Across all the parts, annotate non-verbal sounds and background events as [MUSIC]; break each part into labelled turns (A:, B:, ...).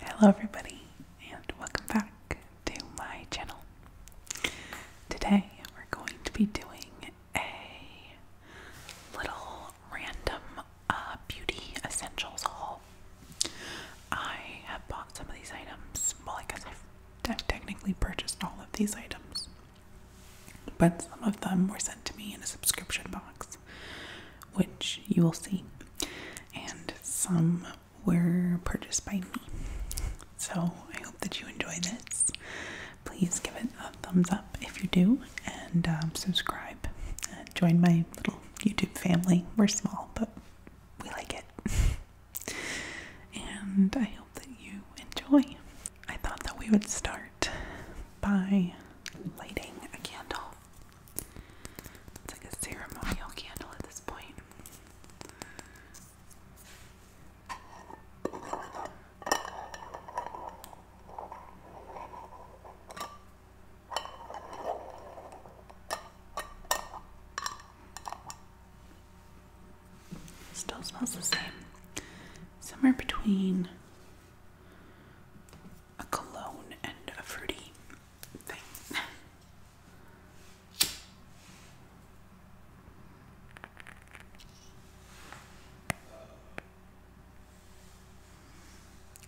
A: Hello, everybody, and welcome back to my channel. Today, we're going to be doing a little random uh, beauty essentials haul. I have bought some of these items. Well, I guess I've technically purchased all of these items, but some of them were sent to me in a subscription box which you will see, and some were purchased by me. So I hope that you enjoy this. Please give it a thumbs up if you do, and um, subscribe. Uh, join my little YouTube family. We're small, but we like it. [LAUGHS] and I hope that you enjoy. I thought that we would start by lighting a candle. It's like a ceremonial candle at this point. Still smells the same. Somewhere between a cologne and a fruity thing.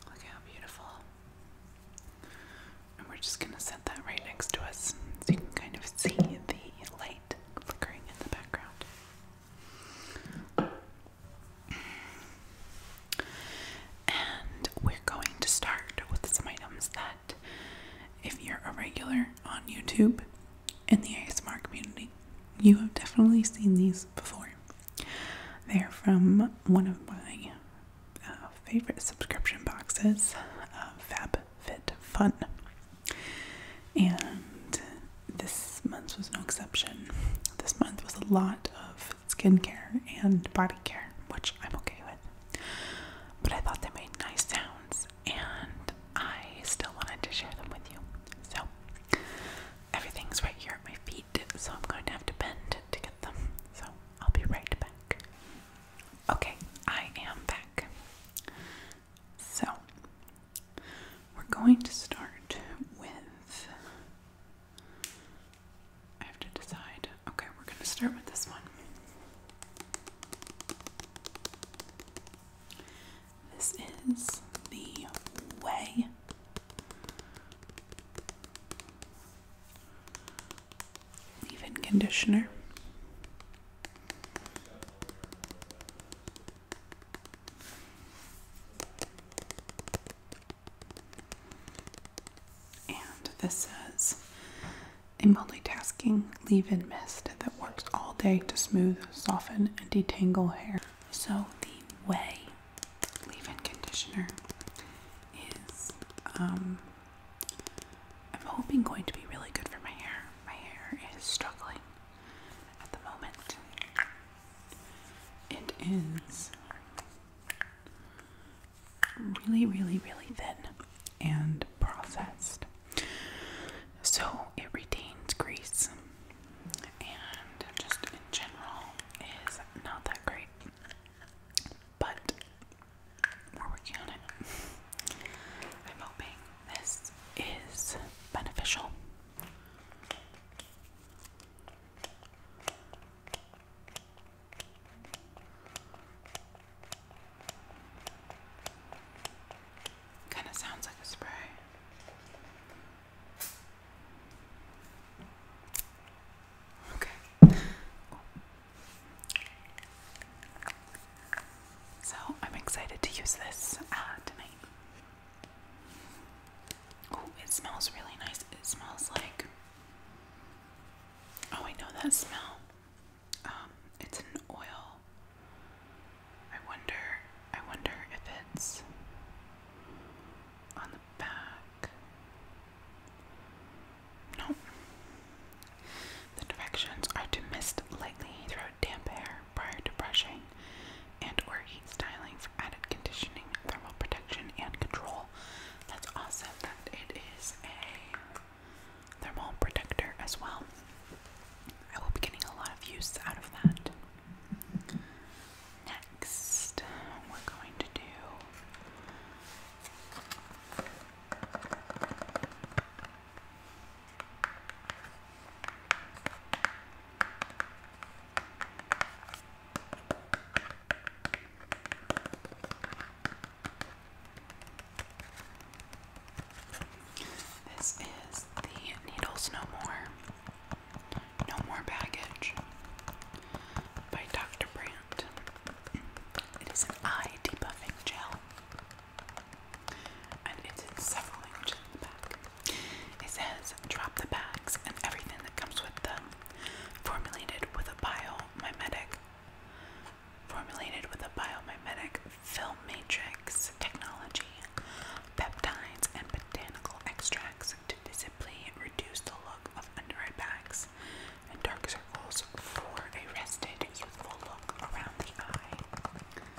A: Look how beautiful. And we're just going to set that right next to us so you can kind of see the light flickering in the background. And we're going to start with some items that, if you're a regular on YouTube in the ASMR community, you have definitely seen these before. They're from one of my uh, favorite subscription boxes, uh, Fab Fit Fun. And this month was no exception. This month was a lot of of skincare and body care, which I'm okay with. But I thought they made nice sounds and I still wanted to share them with you. So everything's right here at my feet, so I'm going to have to bend to get them. So I'll be right back. Okay, I am back. So we're going to start with I have to decide. Okay, we're going to start with this one. This is the way. Leave-in conditioner. And this is a multitasking leave in mist that works all day to smooth, soften, and detangle hair. So, the way leave in conditioner is, um, I'm hoping going to be really good for my hair. My hair is struggling at the moment. It is really, really, really thin and processed. So it retains grease and just in general is not that great. But we're working on it. I'm hoping this is beneficial. Kind of sounds like a spray. Okay. So I'm excited to use this uh, tonight. Oh, it smells really nice. It smells like. Oh, I know that smell. Um, it's an oil. I wonder. I wonder if it's on the back. No. The directions are to mist lightly throughout damp hair prior to brushing and or heat styling for added conditioning, thermal protection, and control. That's awesome that it is a thermal protector as well. I will be getting a lot of use out of that. Next, we're going to do. This is the Needles No More, No More Baggage by Dr. Brandt. It is an eye debuffing gel, and it's in several languages in the back. It says, drop the bags and everything that comes with them formulated with a biomimetic formulated with a biomimetic film matrix technology, peptides, and botanical extracts to visibly reduce the look of under-eye bags and dark circles for a rested, youthful look around the eye.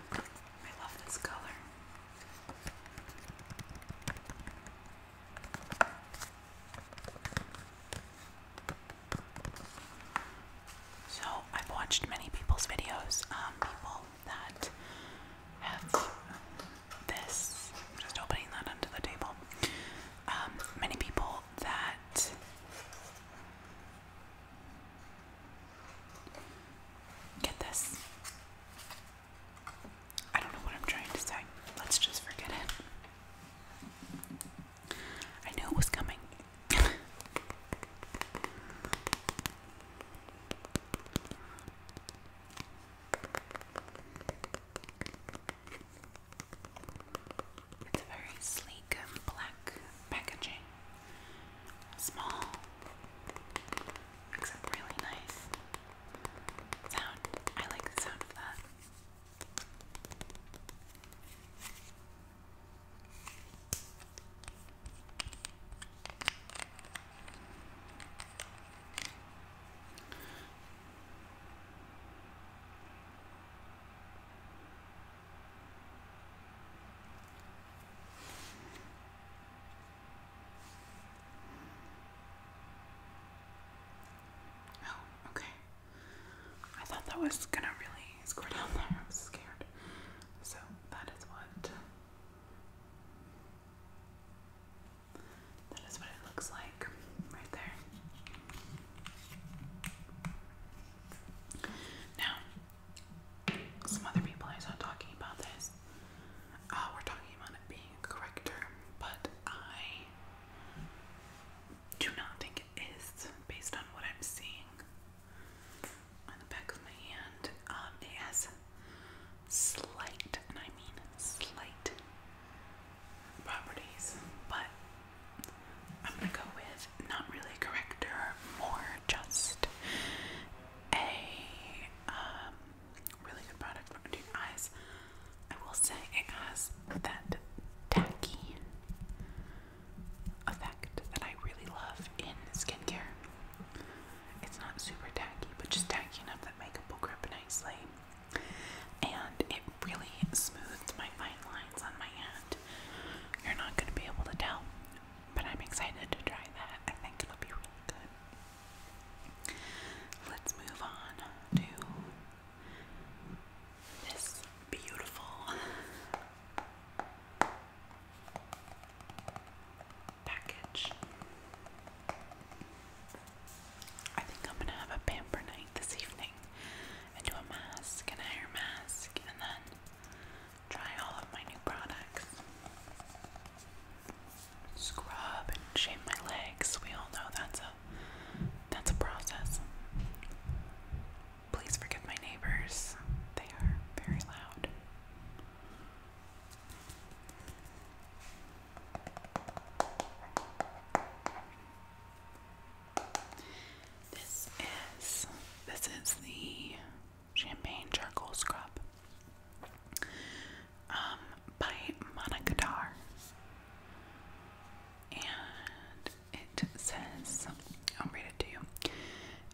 A: I love this color. So, I've watched many people's videos, um, people that have this, just opening that onto the table. Um, many people that get this I don't know what I'm trying to say. Let's just forget it. I knew it was coming. [LAUGHS] It's very sleek um, black packaging. Small. Except really nice sound. I like the sound of that. Oh, okay. I thought that was gonna really score down there. I was scared. So that is what that is what it looks like right there. Now, some other people I saw talking about this. Oh, we're talking about it being correct but I do not think it is based on what I'm seeing on the back of my hand. Um, it has slight, and I mean slight, properties, but I'm gonna go with not really a corrector, more just a um, really good product for under eyes. I will say it has that tacky effect that I really love in skincare. It's not super tacky, but just tacky enough that makeup will grip nicely. And it really smooths my fine lines on my hand. You're not going to be able to tell, but I'm excited to try that. I think it'll be really good. Let's move on to this beautiful package. I think I'm gonna have a pamper night this evening do a mask and hair mask and then try all of my new products scrub and shave my legs. We all know that's a that's a process. Please forgive my neighbors. They are very loud. This is this is the champagne charcoal scrub um, by Monogadar. And it says, I'll read to you.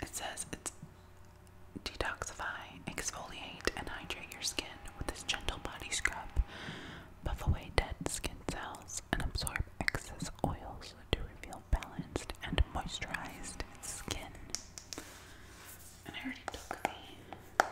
A: It says it's detoxify, exfoliate, and hydrate your skin with this gentle body scrub. Buff away dead skin cells and absorb excess oils to reveal balanced and moisturized skin. And I already took the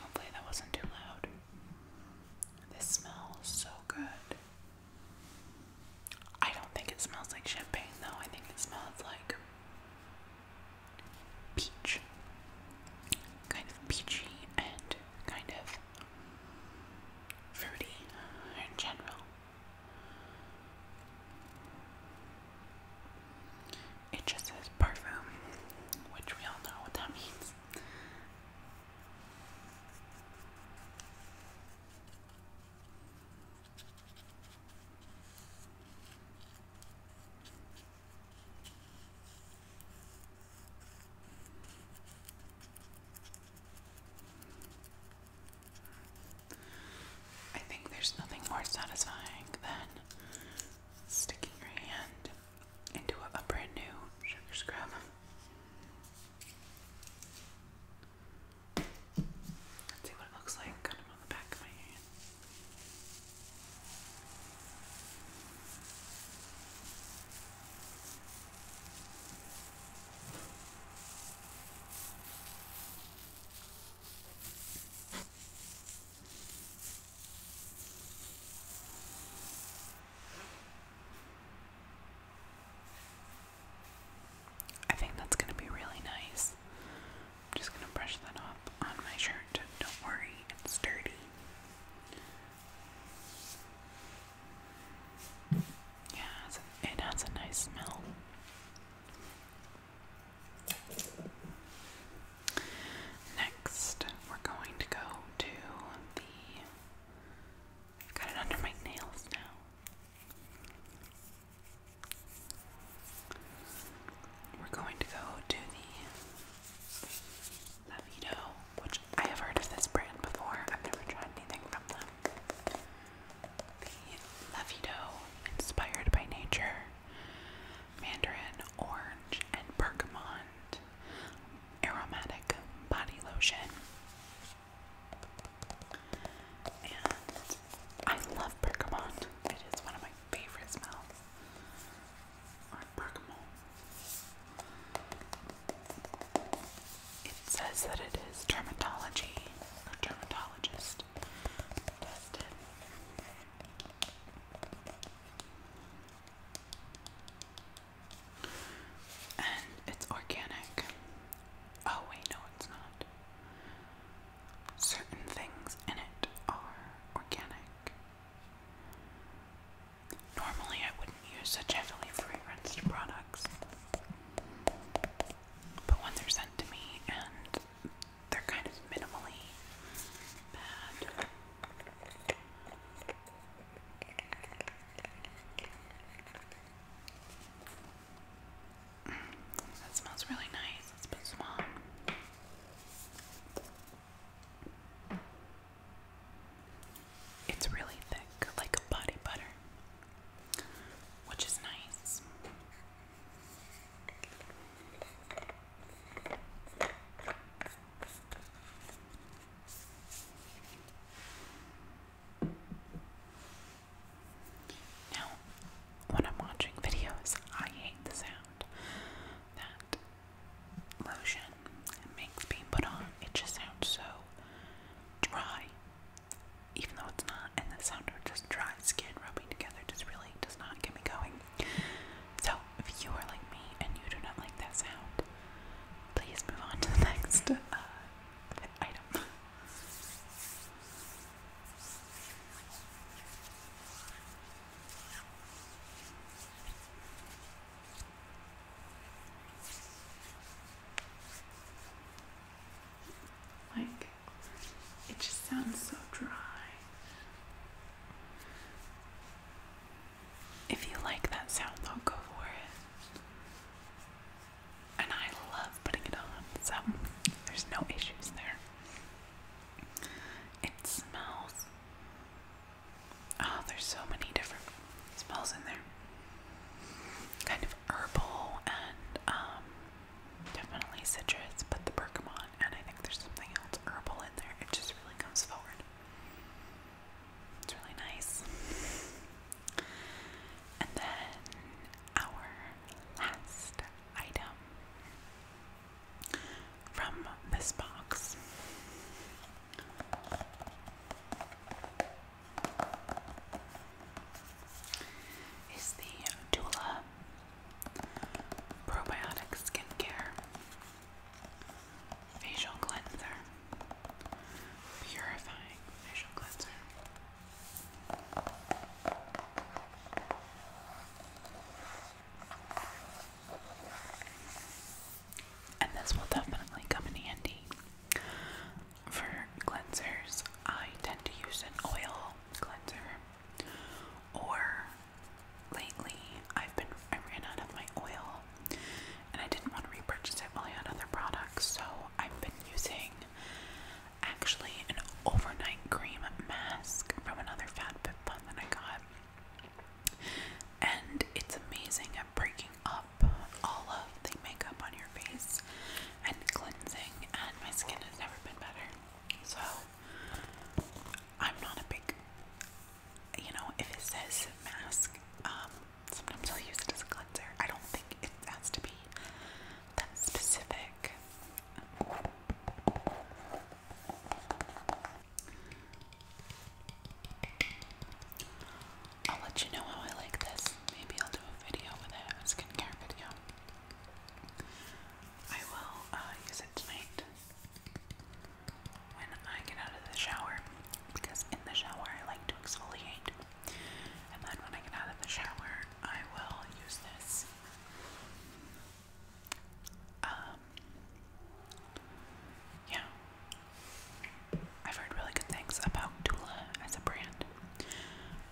A: Hopefully, that wasn't too loud. This smells so good. I don't think it smells like champagne, though. I think it smells like peach kind of peachy and kind of fruity in general. It just says parfum, which we all know what that means. I think there's nothing more satisfying than sticking your hand into a, brand new sugar scrub. Let's see what it looks like, on the back of my hand. I think that's going to be really nice. I'm just going to brush that off on my shirt. Don't worry, it's dirty. Yeah, it has a nice smell. Next, we're going to go to the. got it under my nails now. We're going to go to the Avito, which I have heard of this brand before. I've never tried anything from them. The Levito, inspired by nature, mandarin, orange, and bergamot aromatic body lotion. And I love bergamot. It is one of my favorite smells. It says that it is dermatology or dermatologist tested. And it's organic. Oh, wait, no, it's not. Certain things in it are organic. Normally, I wouldn't use such heavily fragranced products, but when they're sent to me and they're kind of minimally bad, that smells really nice. Let's put some on. It's really thick, like a body butter, which is nice. Now, when I'm watching videos, I hate the sound that lotion makes being put on, it just sounds so dry, even though it's not, and the sound of just dry skin rubbing together just really does not get me going. So, if you are like me and you do not like that sound, please move on to the [LAUGHS] next uh, item. Like, it just sounds so dry. If you like that sound, I'll go for it. And I love putting it on, so there's no issues there. It smells Oh, there's so many different smells in there. Kind of herbal and um, definitely citrus, but the bergamot, and I think there's something else herbal in there. It just really comes forward. It's really nice. And then our last item from this box is the Dula Probiotic Skincare Facial Cleanser Purifying Facial Cleanser. And this will definitely come in handy. For cleansers, I tend to use an oil cleanser. Or lately, I've been I ran out of my oil, and I didn't want to repurchase it while I had other products, so I've been using actually an overnight cream mask from another Fat Fit that I got and it's amazing at breaking up all of the makeup on your face and cleansing and my skin has never been better so I'm not a big you know if it says mask um sometimes I'll use it as a cleanser I don't think it has to be that specific I'll let you know how I like this. Maybe I'll do a video with it, a skincare video. I will uh, use it tonight when I get out of the shower because in the shower I like to exfoliate. And then when I get out of the shower, I will use this. Um, yeah. I've heard really good things about Dula as a brand.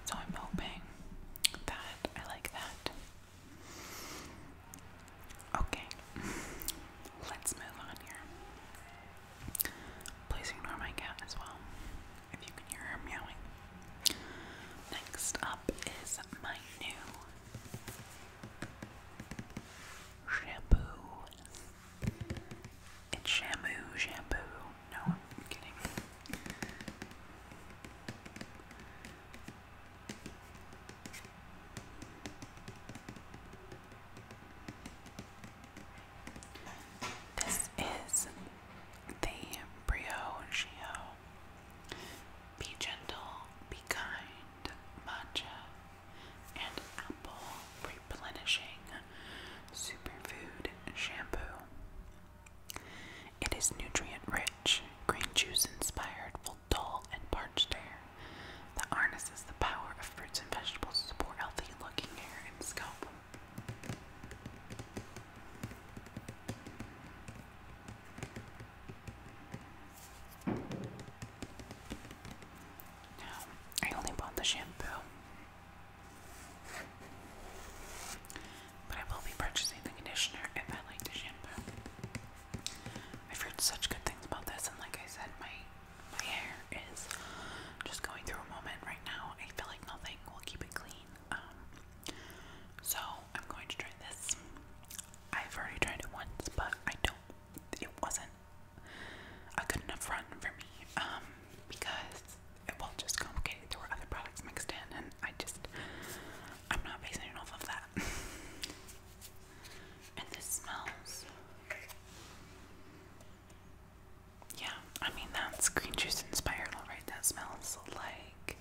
A: So I'm hoping that I like that. Okay, let's move on here. Please ignore my cat as well, if you can hear her meowing. Next up is my new Shampoo. It's shamu, shampoo. No, I'm kidding. This is the Brio Shio. Be gentle, be kind, matcha and apple replenishing superfood shampoo. It is nutrient rich, green juice inspired, will dull and parched hair that harnesses the power of fruits and vegetables to support healthy looking hair and scalp. Now, I only bought the shampoo. But I will be purchasing the conditioner if I like the shampoo. I've heard such good things about this, and like I said, my my hair is just going through a moment right now. I feel like nothing will keep it clean. Um, so I'm going to try this. I've already tried it once, but I don't. It wasn't a good enough run for me um, because it will just complicate There were other products mixed in, and I just, I'm not basing it off of that. [LAUGHS] and this smells. Yeah, I mean, that's green juice inspired, alright? That smells like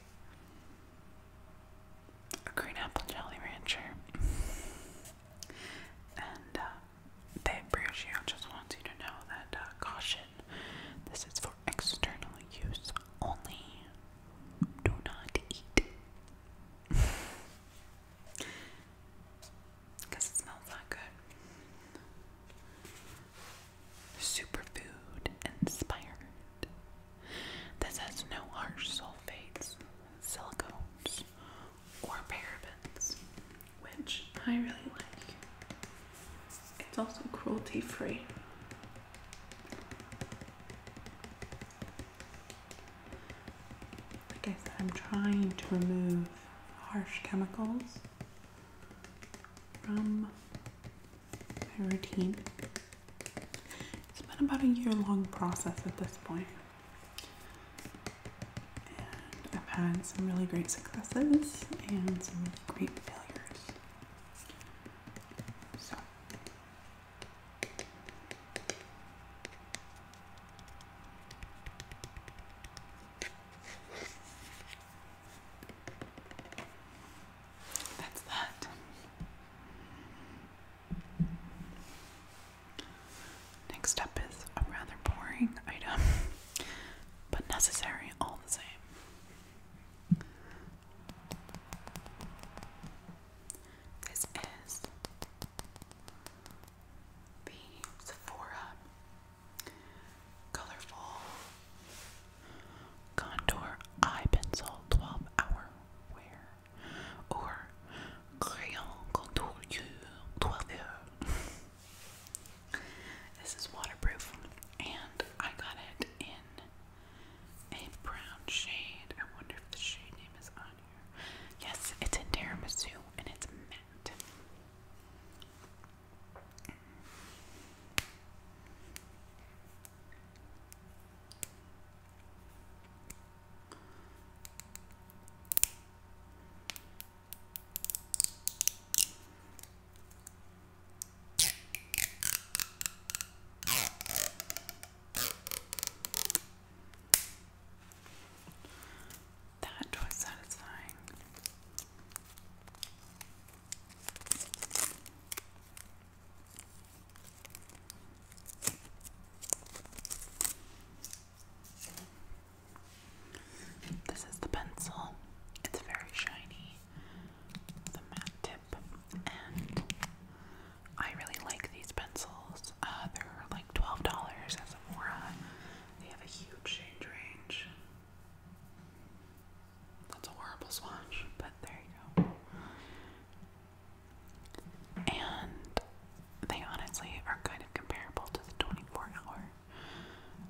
A: a green apple jelly rancher. And uh, they, just wants you to know that uh, caution, this is for external use only. Do not eat. Because [LAUGHS] it smells not good. Superfood inspired. This has no harsh sulfates, silicones, or parabens, which I really like. It's also cruelty free. I said, I'm trying to remove harsh chemicals from my routine. It's been about a year long process at this point. And I've had some really great successes and some really great failures. So, that's that. Next up is a rather boring item, [LAUGHS] but necessary all the same. This is the Sephora Colorful Contour Eye Pencil 12 Hour Wear or crayon contour toileur. [LAUGHS] This is waterproof, and I got it in a brown shade. I wonder if the shade name is on here. Yes, it's in Tiramisu, and it's matte. That was satisfying. This is the pencil. It's very shiny, the matte tip, and I really like these pencils. Uh, they're like $12 at Sephora. They have a huge shade range. That's a horrible swatch, but there you go and they honestly are kind of comparable to the 24 hour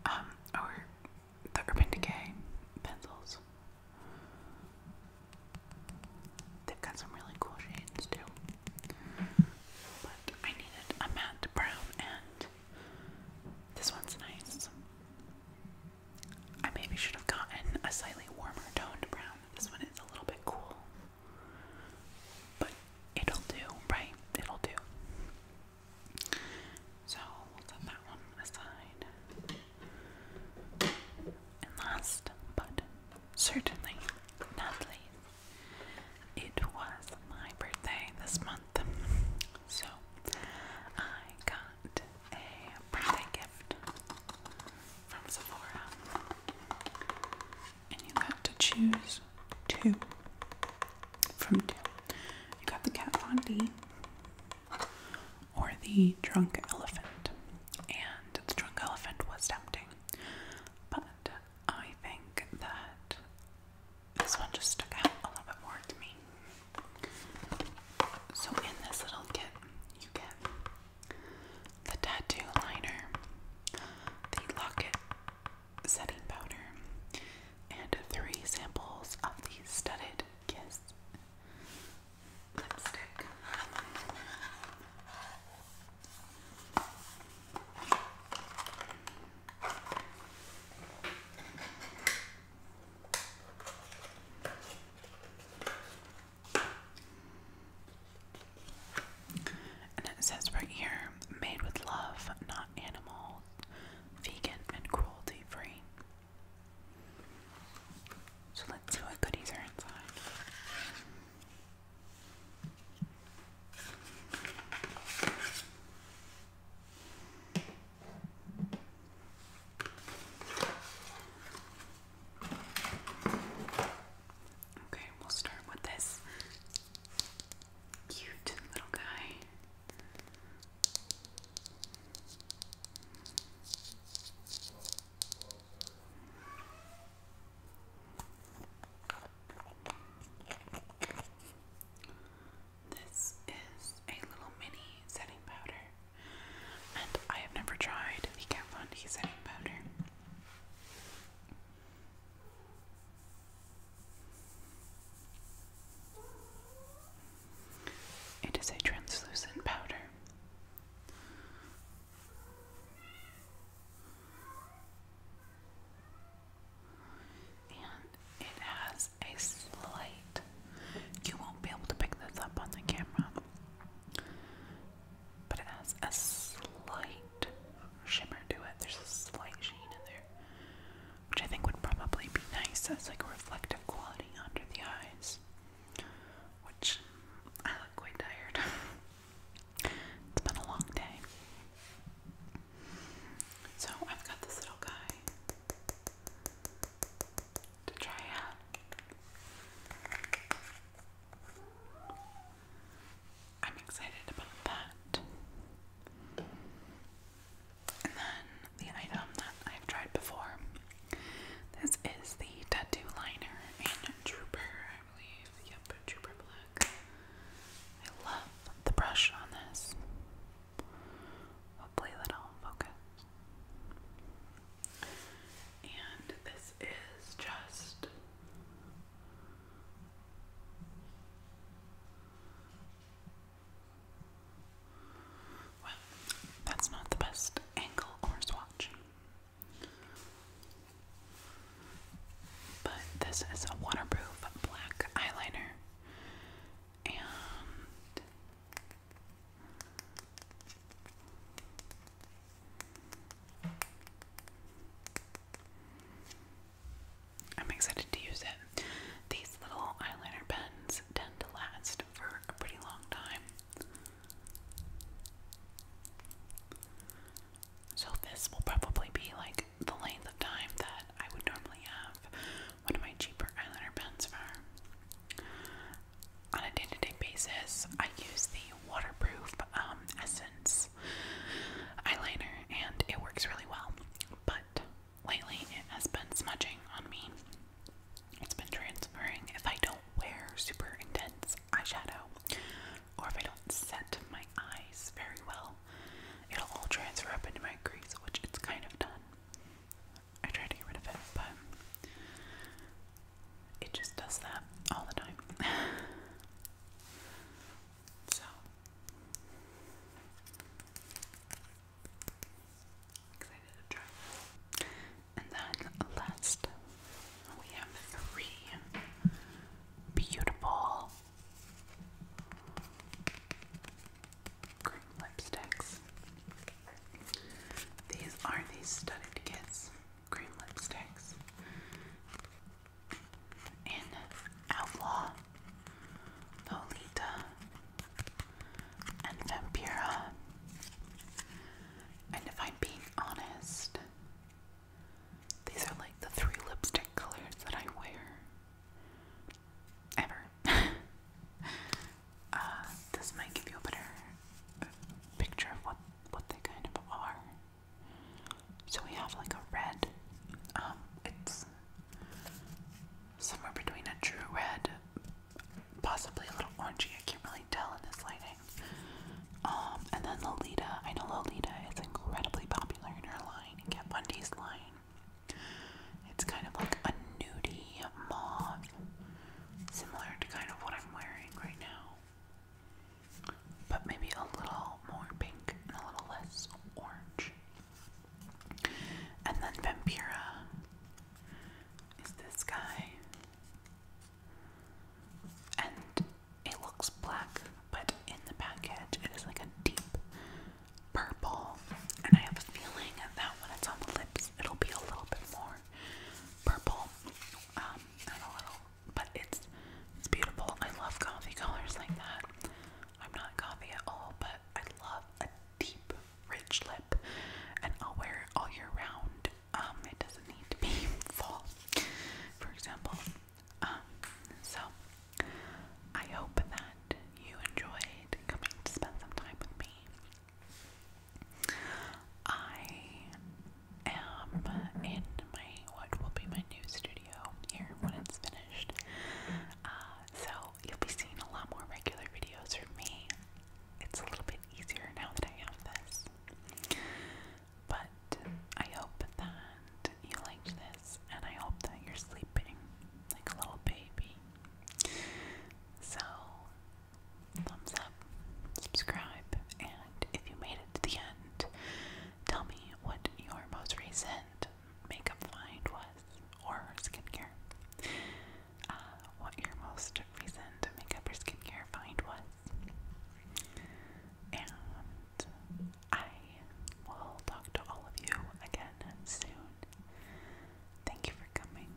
A: um, or the Urban Decay pencils. They've got some really cool shades too. But I needed a matte brown and this one's nice. I maybe should have gotten a slightly warmer toned brown. This one is a little bit cool. But it'll do, right? It'll do. So we'll set that one aside. And last but certainly not least, it was my birthday this month. So I got a birthday gift from Sephora and you got to choose two from two. You got the Kat Von D or the Drunk Elephant, and the Drunk Elephant was tempting, but I think that this one just stuck out a little bit more to me. So, in this little kit, you get the tattoo liner, the locket setting powder, and three samples of the studded kiss lipstick. And it says right here made with love, not animal, vegan, and cruelty free. So let's see what goodies are inside. Okay, we'll start with this cute little guy. This is a little mini setting powder, and I have never tried the Kat Von D setting powder. It is a translucent powder. And it has a slight, you won't be able to pick this up on the camera, but it has a slight shimmer to it. There's a slight sheen in there, which I think would probably be nice as like a reflective quality under the eyes. Which I look quite tired. [LAUGHS] it's been a long day. So I've got this little guy to try out. I'm excited about that. And then the item that I've tried before. This is the tattoo liner in drooper. I believe. Yep, Trooper Black. I love the brush on this. Hopefully that'll focus. And this is just well, that's not the best angle or swatch. But this is a waterproof black eyeliner. And I'm excited to use it. These little eyeliner pens tend to last for a pretty long time. So, this will probably be like the length of time that I would normally have one of my cheaper eyeliner pens for. On a day to day basis, I use the waterproof um, Essence eyeliner and it works really well. But lately it has been smudging on me. It's been transferring if I don't wear super intense eyeshadow or if I don't set my eyes very well. It'll all transfer up into my crease, which it's kind of done. I try to get rid of it, but it just does that all the time. [LAUGHS] So excited to try And then last we have three beautiful lipsticks. These are these studded kits green lipsticks in Outlaw, Lolita, and Vampira. And if I'm being honest, these are like the three lipstick colors that I wear ever. [LAUGHS] Uh, this might give you a better picture of what what they kind of are. So we have like a red, um, it's somewhere between a true red, possibly a little orangey, I can't really tell in this lighting. Um, and then Lolita, I know Lolita is incredibly popular in her line, in Kat Bundy's line. It's kind of like a nudie mauve, similar to kind of what I'm wearing right now but maybe a little more pink and a little less orange. And then Vampira is this guy, and it looks black, but in the package it is like a deep purple. And I have a feeling that when it's on the lips, it'll be a little bit more purple um, and a little but it's it's beautiful. I love coffee colors like that. I'm not coffee at all, but I love a deep, rich lip, and I'll wear it all year round. Um, it doesn't need to be [LAUGHS] fall, for example. Um, so I hope that you enjoyed coming to spend some time with me. I am in my what will be my new studio here when it's finished. Uh, so you'll be seeing a lot more regular videos from me. It's a little bit easier now that I have this. But I hope that you liked this and I hope that you're sleeping like a little baby. So, thumbs up, subscribe, and if you made it to the end, Tell me what your most recent makeup find was, or skincare. Uh, what your most recent makeup or skincare find was. And I will talk to all of you again soon. Thank you for coming.